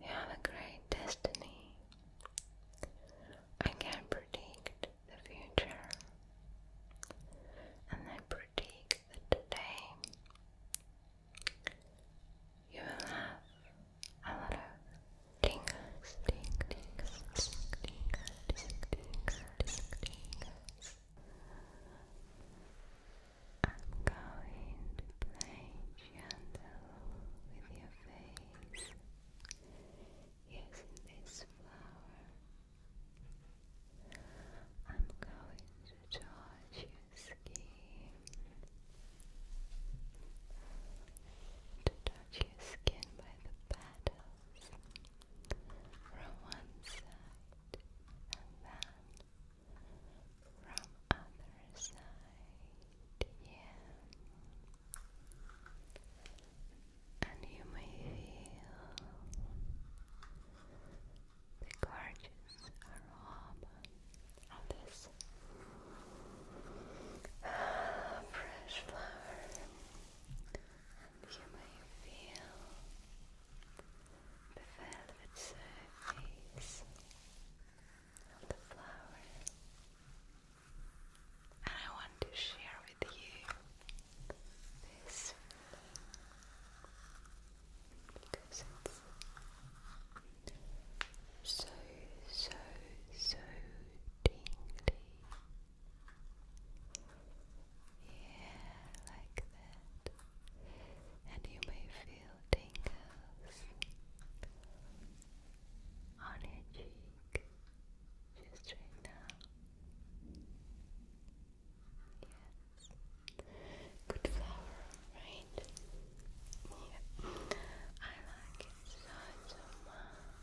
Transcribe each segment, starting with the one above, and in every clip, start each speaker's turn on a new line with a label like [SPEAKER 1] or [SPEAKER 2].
[SPEAKER 1] You have a great destiny. I can predict the future and then predict the today. You will have I'm going to play gentle with your face using this flower. I'm going to touch your skin to touch your skin by the petals from one side and then from other side, And you may feel the gorgeous aroma of this fresh flower. And you may feel the velvet surface of the flower. And I want to share with you this because it's so, so, so tingly. Yeah, like that. And you may feel tingles on your cheek just right now. Yes. Good flower, right? Yeah. I like it so much.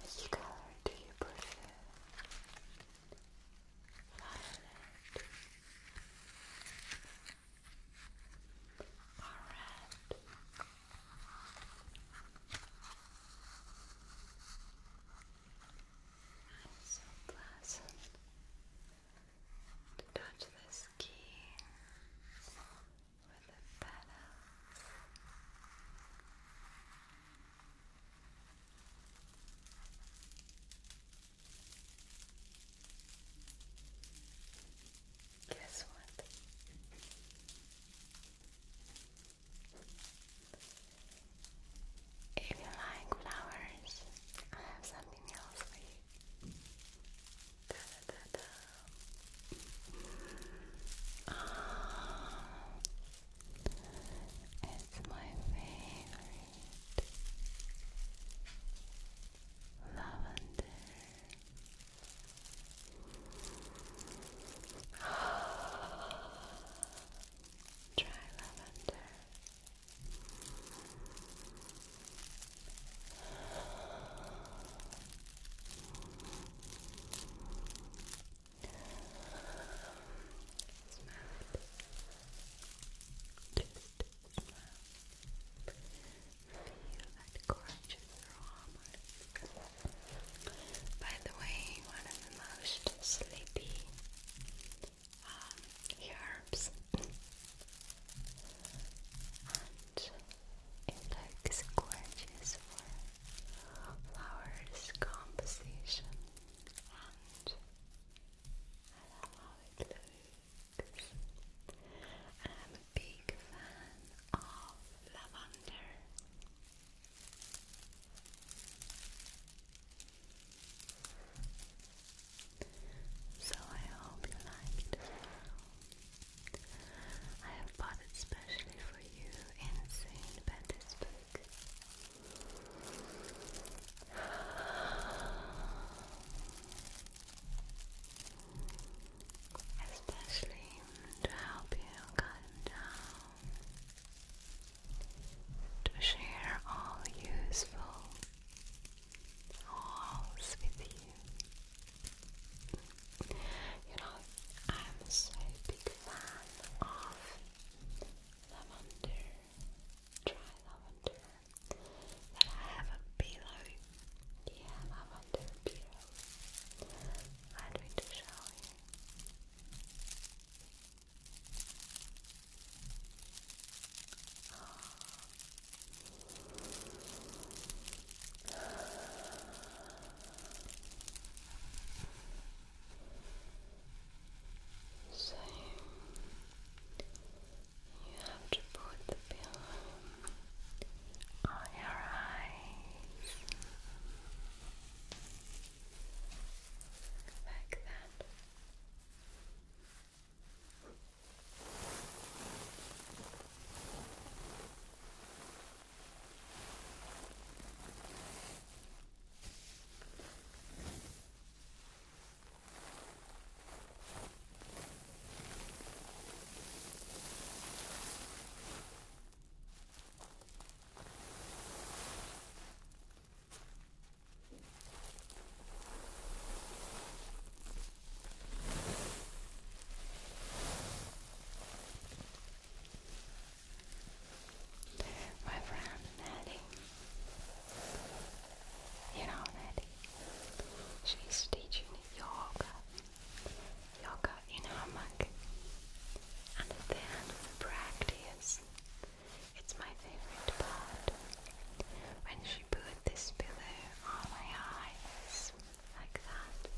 [SPEAKER 1] Which color do you prefer? Violet. Alright. It's so pleasant to touch the skin with the petals. Guess what? If you like flowers, I have something else for you. Da, da, da, um, it's my favorite lavender. Dry lavender. Smell it. Just smell feel that courage in By the way, one of the most sleepy um, herbs. and it looks gorgeous for flowers composition and I love how it looks big fan of lavender. So I hope you like it I have bought it specially for you in St. Petersburg especially to help you calm down, to share all useful alls with you. You know, I'm so big fan of lavender, dry lavender, that I have a pillow. Yeah, lavender pillow. I'm to show you. So you have to put the pillow on your eyes like that. My friend Nelly, you know Nelly, she's teaching yoga Lock out in hammock and then practice. It's my favorite part. When she put this pillow on my eyes like that.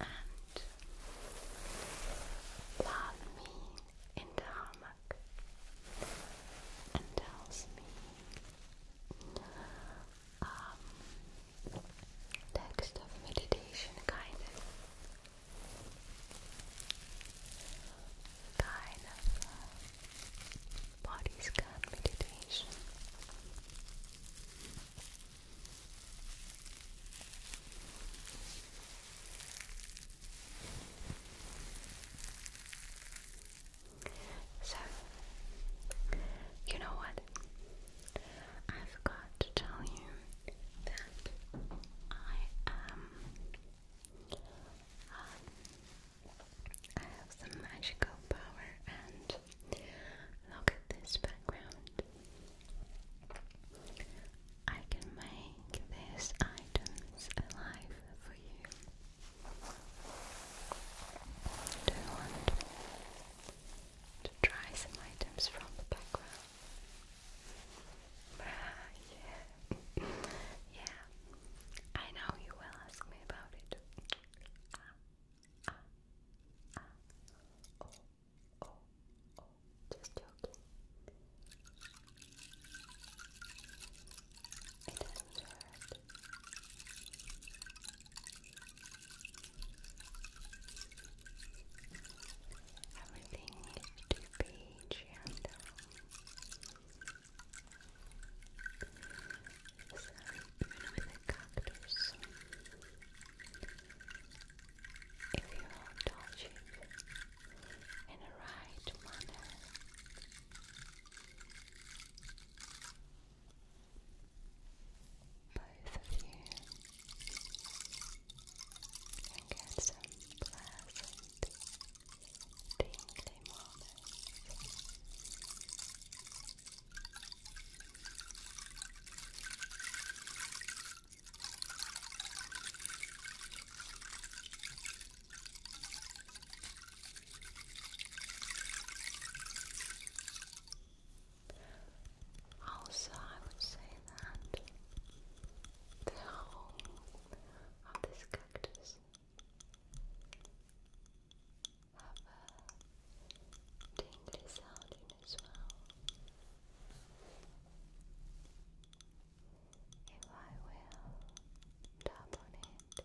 [SPEAKER 1] And love me in the hammock and tells me um, text of meditation kind of kind of uh, body scan meditation. So, you know what? I've got to tell you that I am. Uh, I have some magical power, and look at this background. I can make these items alive for you. Do you want to try some items from the background? Ah, yeah. yeah. I know you will ask me about it. Ah, ah, ah. Oh, oh, oh. Just joking. It doesn't hurt. Everything needs to be gentle. So, with a cactus, if you touch it in the right manner, both of you and get some pleasant tingly moments. Also, I would say that the whole of this cactus have a tingly sound as well. If I will tap on it,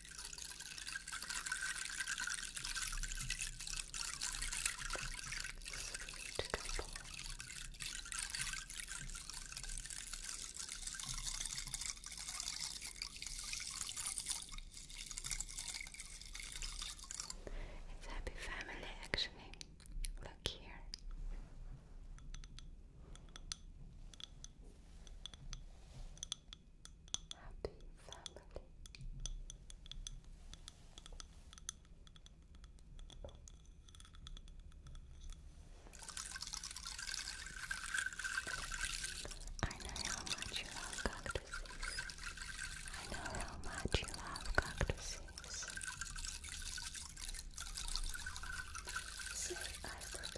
[SPEAKER 1] Sweet couple. It's happy family actually. Look here happy family. I know how much you love cactuses. I know how much you love cactuses. So I prepared for you another one.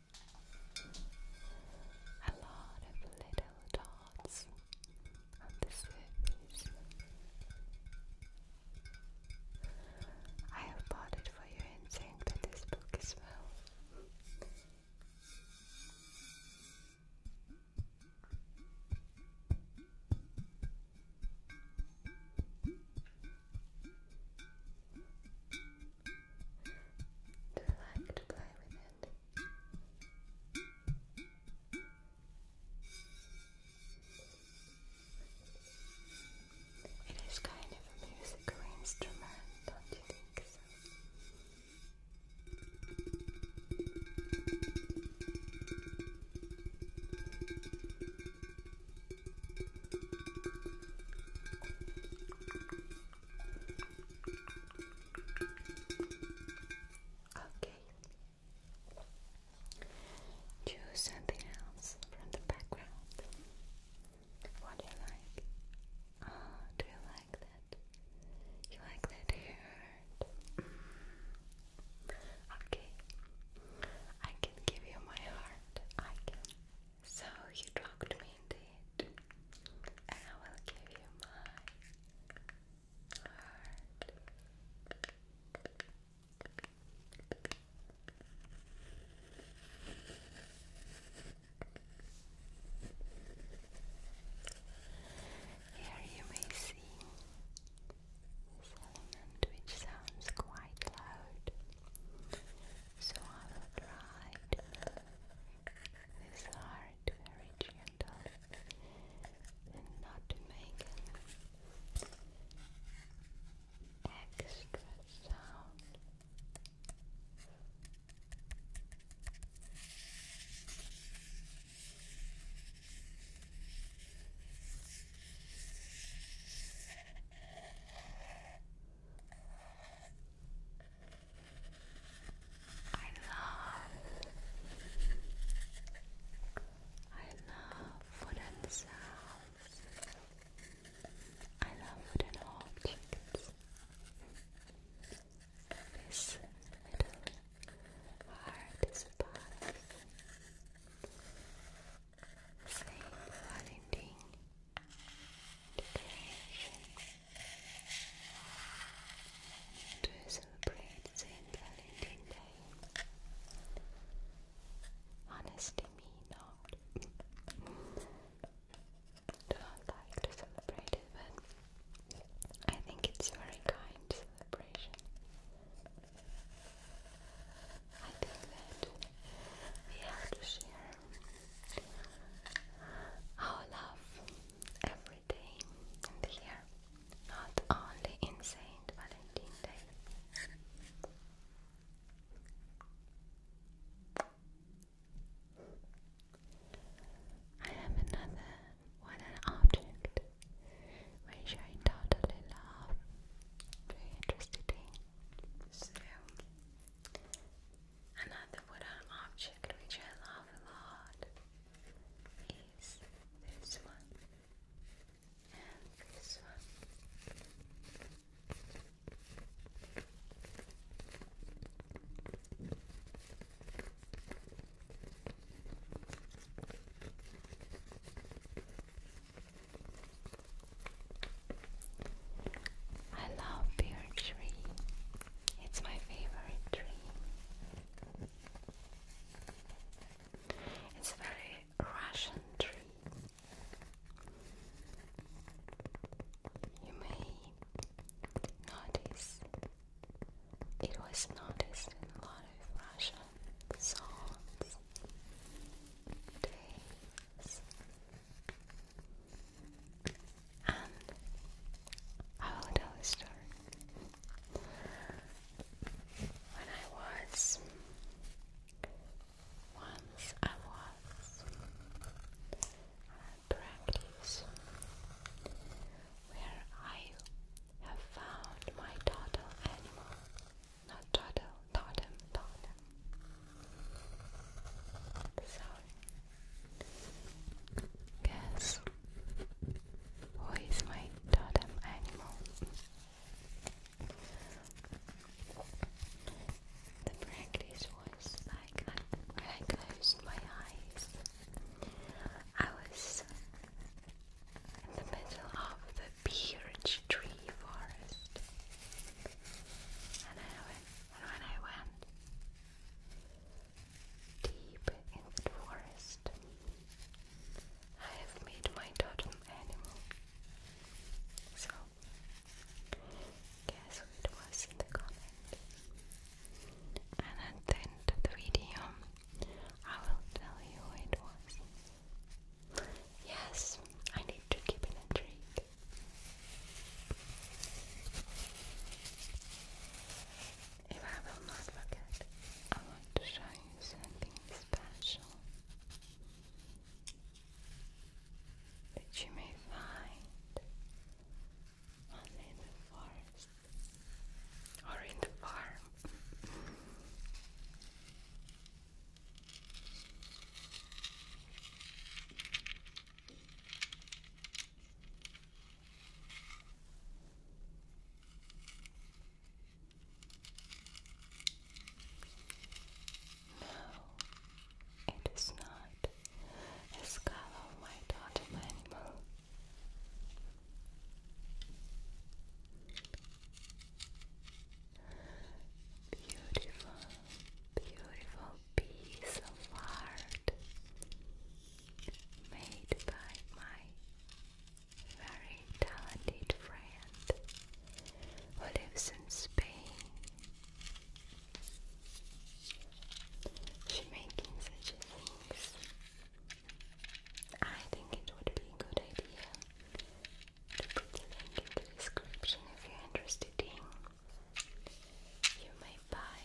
[SPEAKER 1] a lot of little dots on the surface. I have bought it for you and sent with this book as well. Do you like to play with it? It is kind of a musical instrument, don't you think so? Okay. Choose something else from the background. What do you like? Oh, do you like that? You like that hair? Okay. I can give you my heart. I can. So you talked to me indeed, and I will give you my heart. Here you may see which sounds quite loud, so I will try to this heart very gentle and not make extra sound. I love I love wooden sounds. I love wooden objects. This little heart is part Saint Valentine decoration to celebrate Saint Valentine Day. Honestly, me not. Do not like to celebrate it, but I think it's very kind celebration. I think that we have to share our love every day in the not only in Saint Valentine's Day. I have another one an object which I totally love. Very interested So Another wooden object which I love a lot is this one and this one. I love pear tree. It's my favorite tree. It's very Russian tree. You may notice it was noticed in a lot of Russian songs, days, and I will tell a story. When I was once I was at practice where I have found my totem animal. Not totem, totem, totem. So, guess who is my totem animal? The practice was like when I closed my eyes, I was in the middle of the birch tree forest, and I went and when I went deep in the forest, I have made my totem animal. So, guess who it was in the comment? And at the end of the video, I will tell you who it was. Yes, I need to keep in a tree. If I will not forget, I want to show you something special that you may find only in the forest or in the farm. No, it is not the skull animal. Beautiful beautiful piece of art made by my very talented friend who lives in Spain. She making such things. I think it would be a good idea to put the link in the description if you're interested in you may buy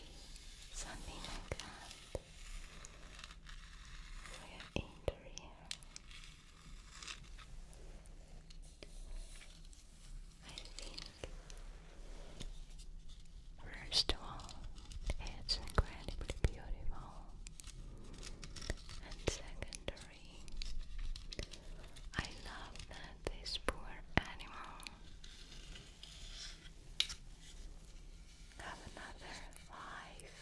[SPEAKER 1] something like that for interior. I think, first of all, it's incredibly beautiful, and secondary, I love that this poor animal have another life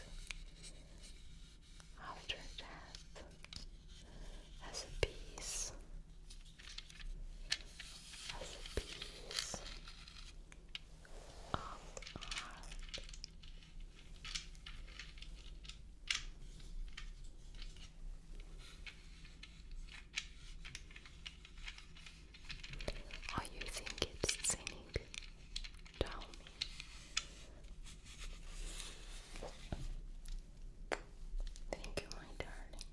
[SPEAKER 1] after death as a peace, as a piece of art. Or you think it's singing? Tell me. Thank you, my darling.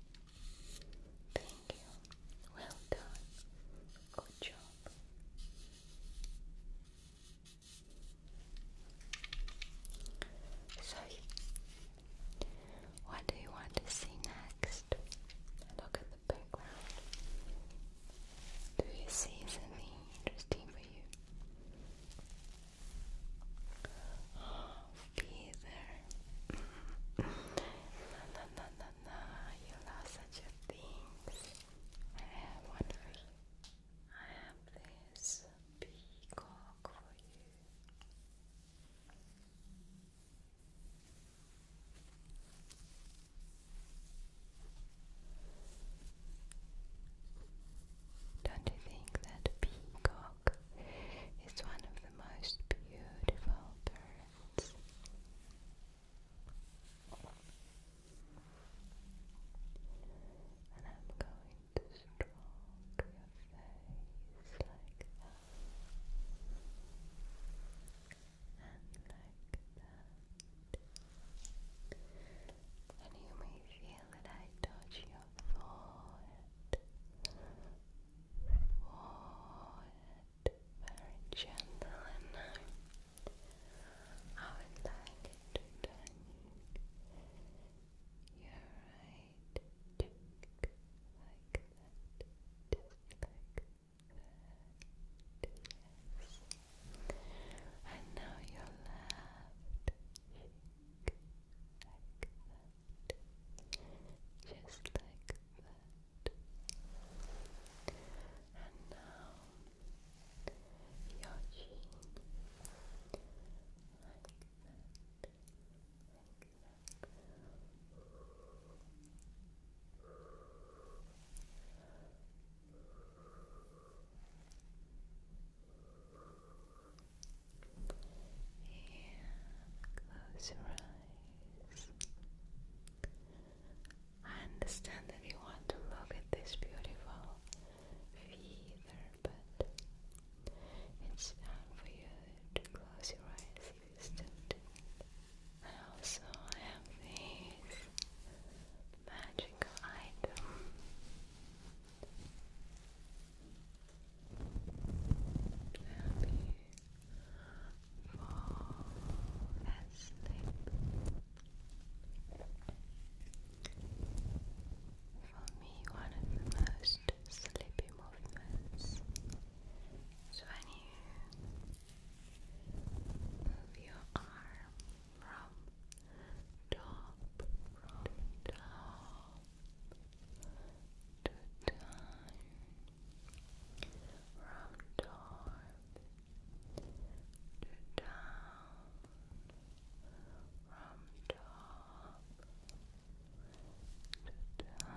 [SPEAKER 1] Thank you. Well done. Good job. Soy what do you want to see next? Look at the background. Do you see something interesting for you? feather. no, no, no, no, no. You love such things. I I have this peacock for you. Don't you think that peacock is one of the most beautiful birds? to stroke your face like that and like that and you may feel that I touch your forehead forehead very gentle I would like to turn your eyes right cheek and now your left just like that and now your chin like that, close your eyes. I understand that you want to look at this beautiful feather, but it's time for you to close your eyes if you still do. I also have this magical item. To fall asleep. For me, one of the most sleepy movements. So when you move your arm from top to top to down, from top to down, from top time,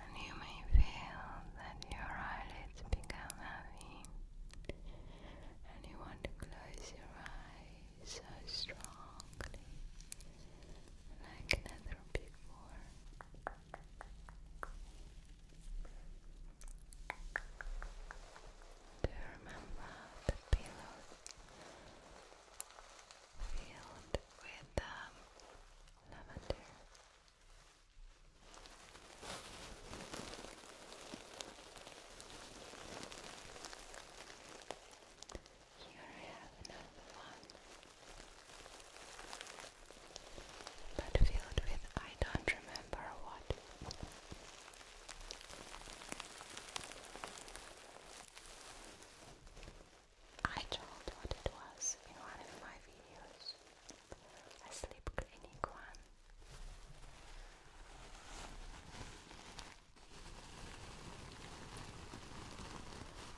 [SPEAKER 1] and you may feel that your eyelids become heavy, and you want to close your eyes so strongly, like never before. Do you remember the pillows filled with um, lavender? Here I have another one but filled with I don't remember what. I told what it was in one of my videos, a sleep clinic one.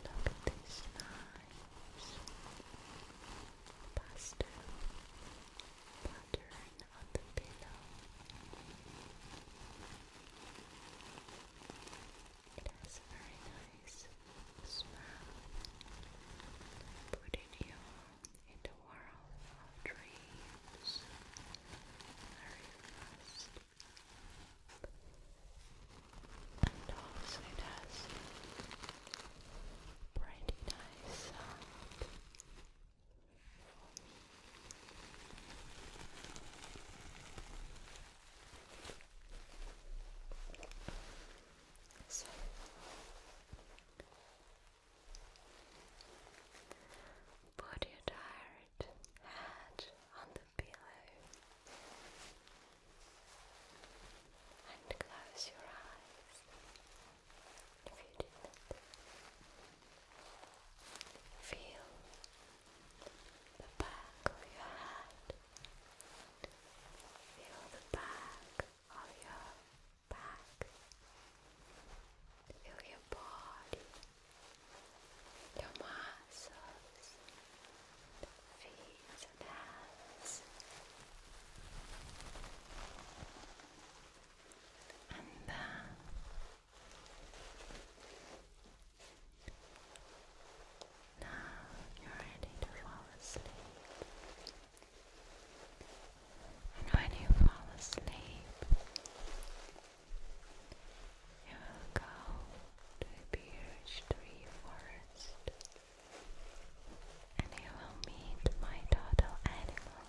[SPEAKER 1] Look at this times. It has very nice smell. Putting you in the world of dreams very And also it has pretty nice uh, Put your tired head on the pillow and close your eyes if you didn't. Feel the back of your head, feel the back of your back, feel your body, your muscles feet, and then now you're ready to fall asleep. And when you fall asleep, you will go to a beech tree forest and you will meet my total animal.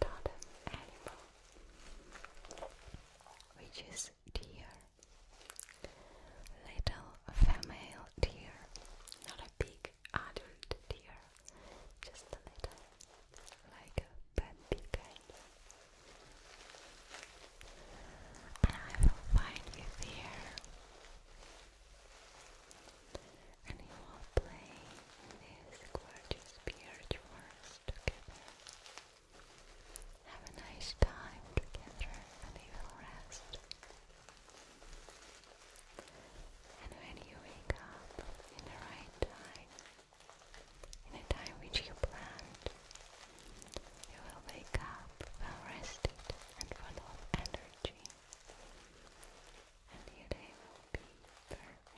[SPEAKER 1] Totem animal, which is deer, little female deer, not a big adult deer, just a little, like a baby kind. And I will find you there and you will play this gorgeous beard yours together. Have a nice time together and you will rest. And when you wake up in the right time, in a time which you planned, you will wake up rested and full of energy, and your day will be perfect.